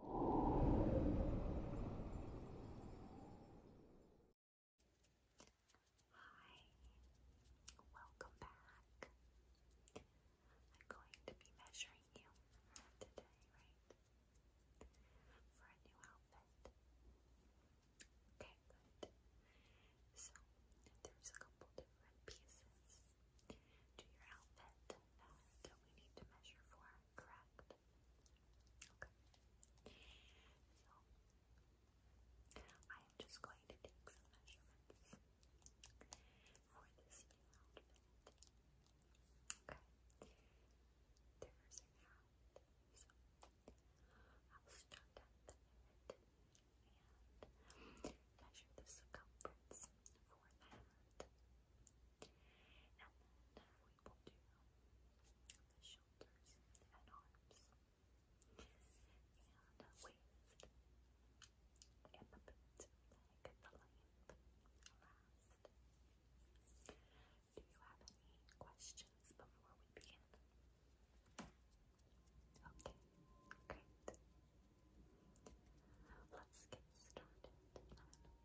Hi, welcome back. I'm going to be measuring you today, right? For a new outfit. Okay, good. So, there's a couple different pieces to your outfit that we need to measure for, correct? Okay. So, I am just going to take some measurements for this new outfit. Okay. There's an hat. So, I'll start at the head and measure the circumference for that. And then we will do the shoulders and arms and waist and the boot last. Do you have any questions before we begin? Okay, great. Let's get started.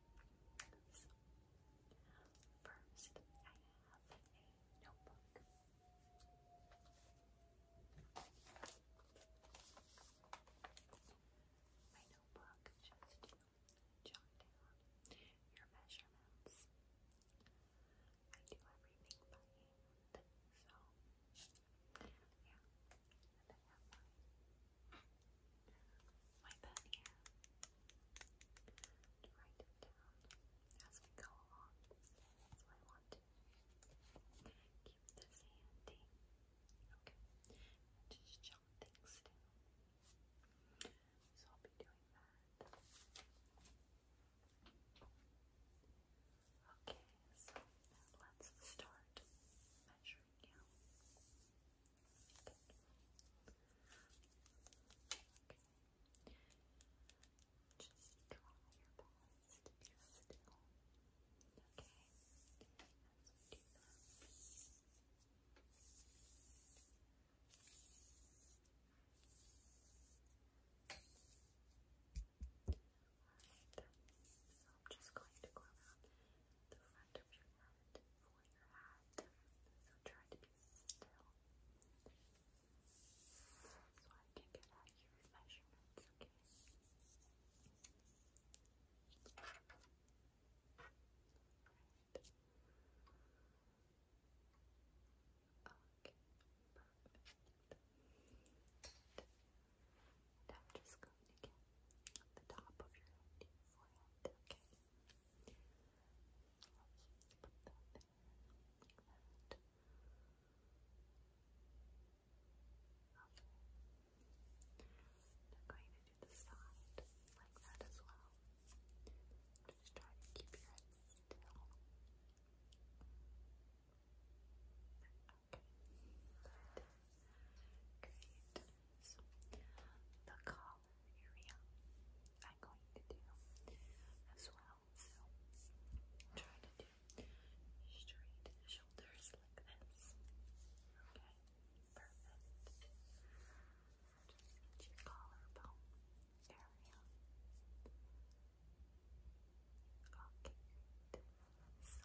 So, first, I have a notebook. My notebook just to down your measurements. I do everything by hand, so yeah, and write down as we go along. So I want to keep this handy. Okay. just jot things down. So I'll be doing that. Okay, so let's start measuring you. Just try your best to be as we do Alright, so I'm just going to go the front of your movement for your head. So try to be still. So I can get out measurements, okay? Right. Okay, perfect. And I'm just going to get the top of your head to your forehead, okay? let put that there, like that. Okay. I'm going to do the side like that as well. Just try to keep your head still. Okay. Great is the collar area. I'm going to do as well. So try to do straight shoulders like this. Okay, perfect. collarbone area. Okay, So,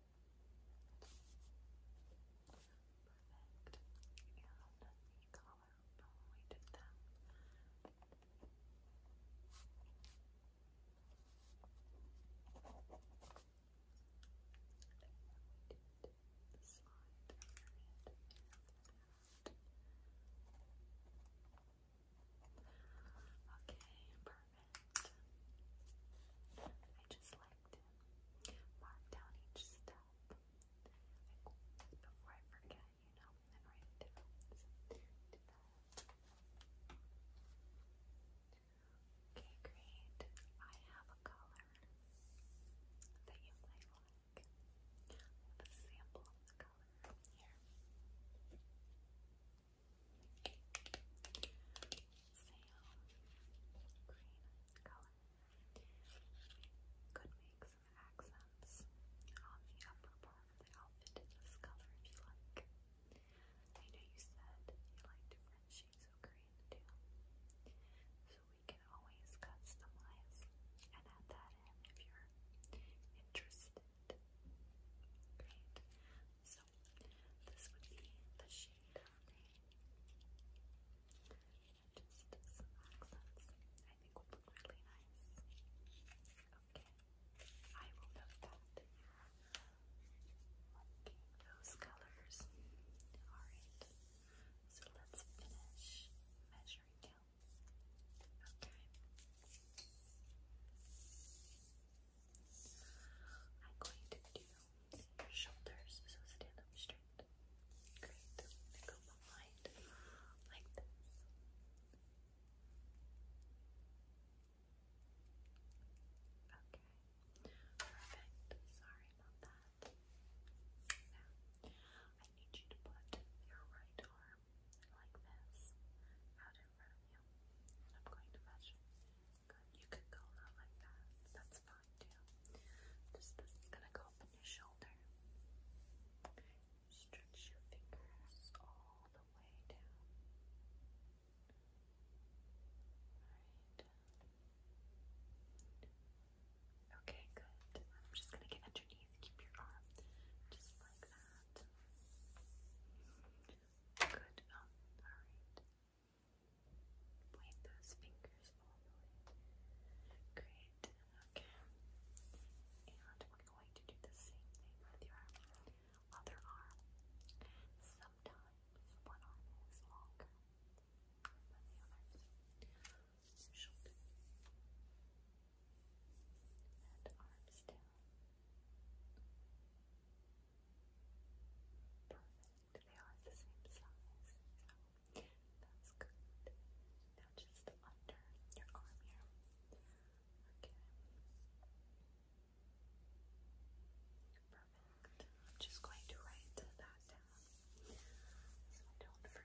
Perfect. And the collar when we did that. Okay, perfect. I just like Arlington. Mark down each Before I forget, you know, Okay, great. I have a color that you might like. a sample of the color here. Sam, green color. Could make some accents on the upper part of the outfit in this color if you like. I know you said you like different shades of green too, so we can always customize and add that if you're interested. Great. So this would be the shade lovely. And just some accents, I think will look really nice. Okay, I will that. those colors. Alright, so let's finish measuring down. Okay. I'm going to do shoulders, so stand up straight. Great. go behind like this. Okay. Perfect. Sorry about that. Now, I need you to put your right arm like this out in front of you. I'm going to measure you could go like that. That's fine too. Just gonna go up in your shoulder. Stretch your fingers all the way down. Right. Okay, good. I'm just gonna get underneath. Keep your arm just like that. Good. Um, all right. Point those fingers all Great. Okay. And we're going to do the same thing with your other arm. Sometimes one arm is longer than the other. So and arms down. Perfect to be all the same size, that's good. Now just under your arm here. Okay. Perfect. I'm just going to write that down so I don't forget. Okay.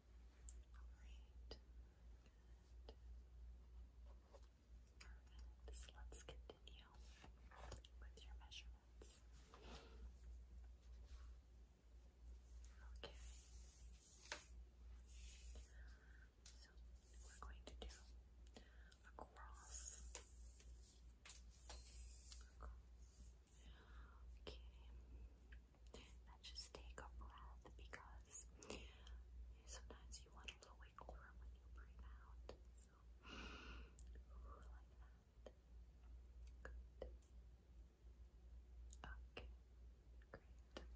Alright. Perfect. let's continue with your measurements. Okay. So we're going to do Across. Okay. Let's just take a breath because sometimes you want a little wiggle room when you breathe out. So, like that. Good. Okay, great.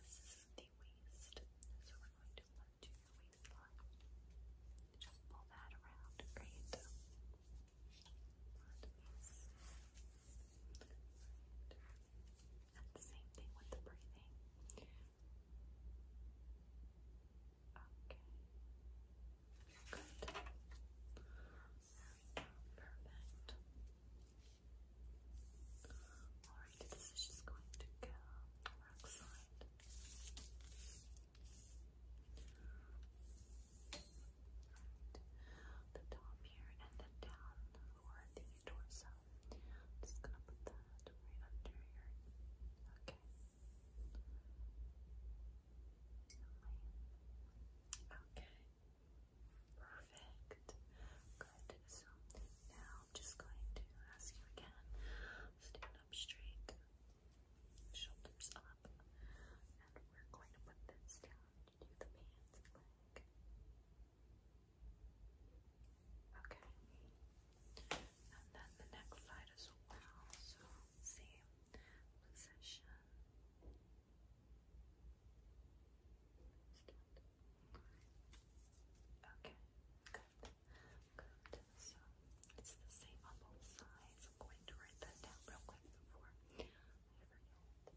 This is the waist, so we're going to want to your waistline. Just pull that around, great. Let and the same thing with the breathing. Okay. Good. There we Perfect. Alright, this is just going to go rock side. The top here and then down or the torso. just gonna put that right under here. Okay. Okay. Perfect. Good. So now I'm just going to ask you again. Stand up straight, shoulders up, and we're going to put this down to do the pants Okay. And then the next side as well. So same position. Okay, good. Good. So it's the same on both sides. I'm going to write that down real quick before I forget. Okay.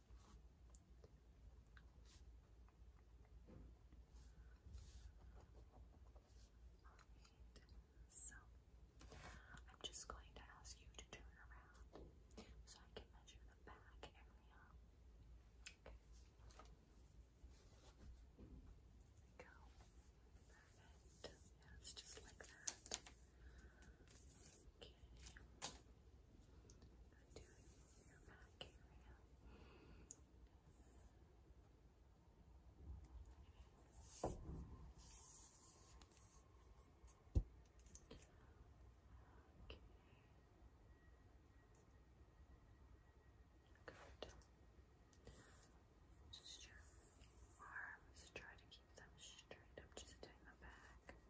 Alright, so I'm just going to ask you to turn around so I can measure the back area. go. Perfect. Yeah, it's just like that. Okay your back Just your arms. Try to keep them straight up, just down the back. Okay.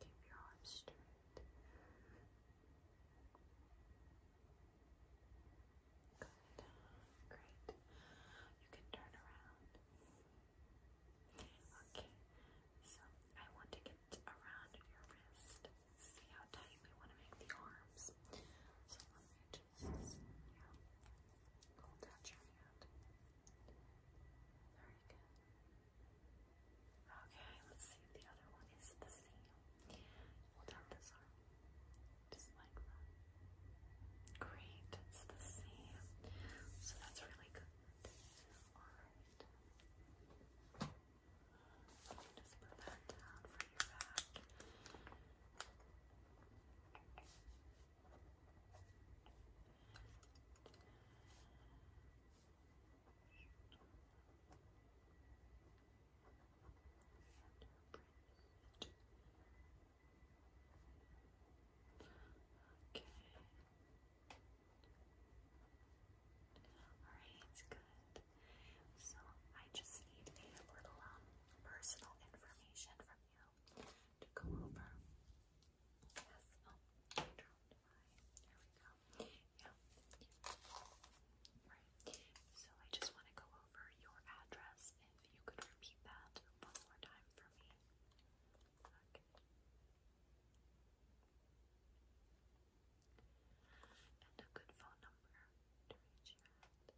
Keep your arms straight. Good. Great. You can turn around. Okay. So I want to get around your wrist. See how tight we want to make the arms. So yeah, go touch your hand. Very good. Okay, let's see if the other one is the same. Hold out this arm, just like that. Great, it's the same. So that's really good. Alright. Just put that down for your back. Okay. Alright, it's good. So I just need a little um, personal information from you to go over. Yes. Oh, There we go. Yeah. Right. So I just want to go over your address. If you could repeat that one more time for me. Okay. And a good phone number to I do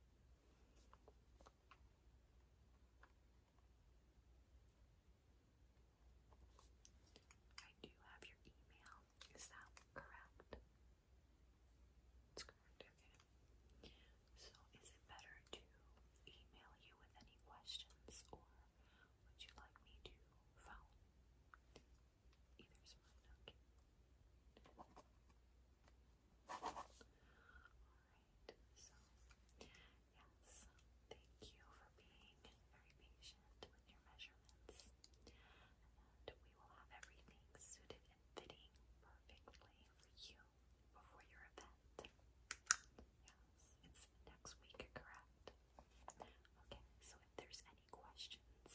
have your email. Is that correct? It's correct, okay. So is it better to email you with any questions or would you like me to phone? Either's fine, okay. Alright, so yes, thank you for being very patient with your measurements. we will have everything suited and fitting perfectly for you before your event. Yes, it's next week, correct? Okay, so if there's any questions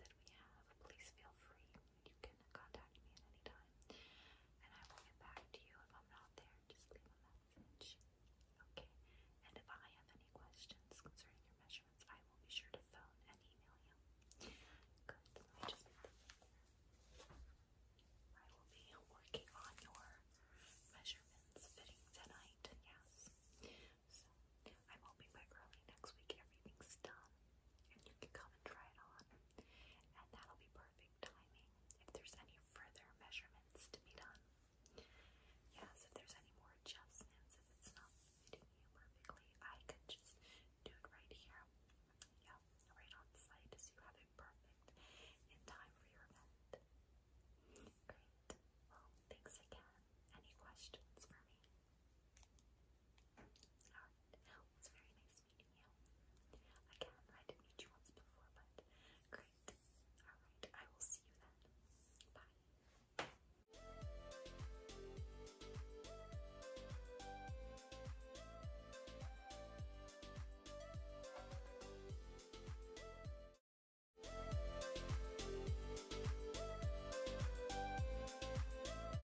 that we have, please feel free you can contact me at any time, and I will get back to you if I'm not there. Just leave a message. Okay, and if I have any questions concerning your measurements, I will be sure to phone and email you. Good, let me just put this I will be working on your measurements, fitting tonight, yes. So, I'm hoping by early next week everything's done and you can come and try it on. And that'll be perfect timing if there's any further measurements to be done. Yes, if there's any more adjustments, if it's not perfectly, I could just do it right here. Yeah, right on site so you have it perfect in time for your event. Great. Well, thanks again. Any questions for me? Alright, well, oh, very nice meeting you. Again, I did meet you once before, but great. Alright, I will see you then. Bye.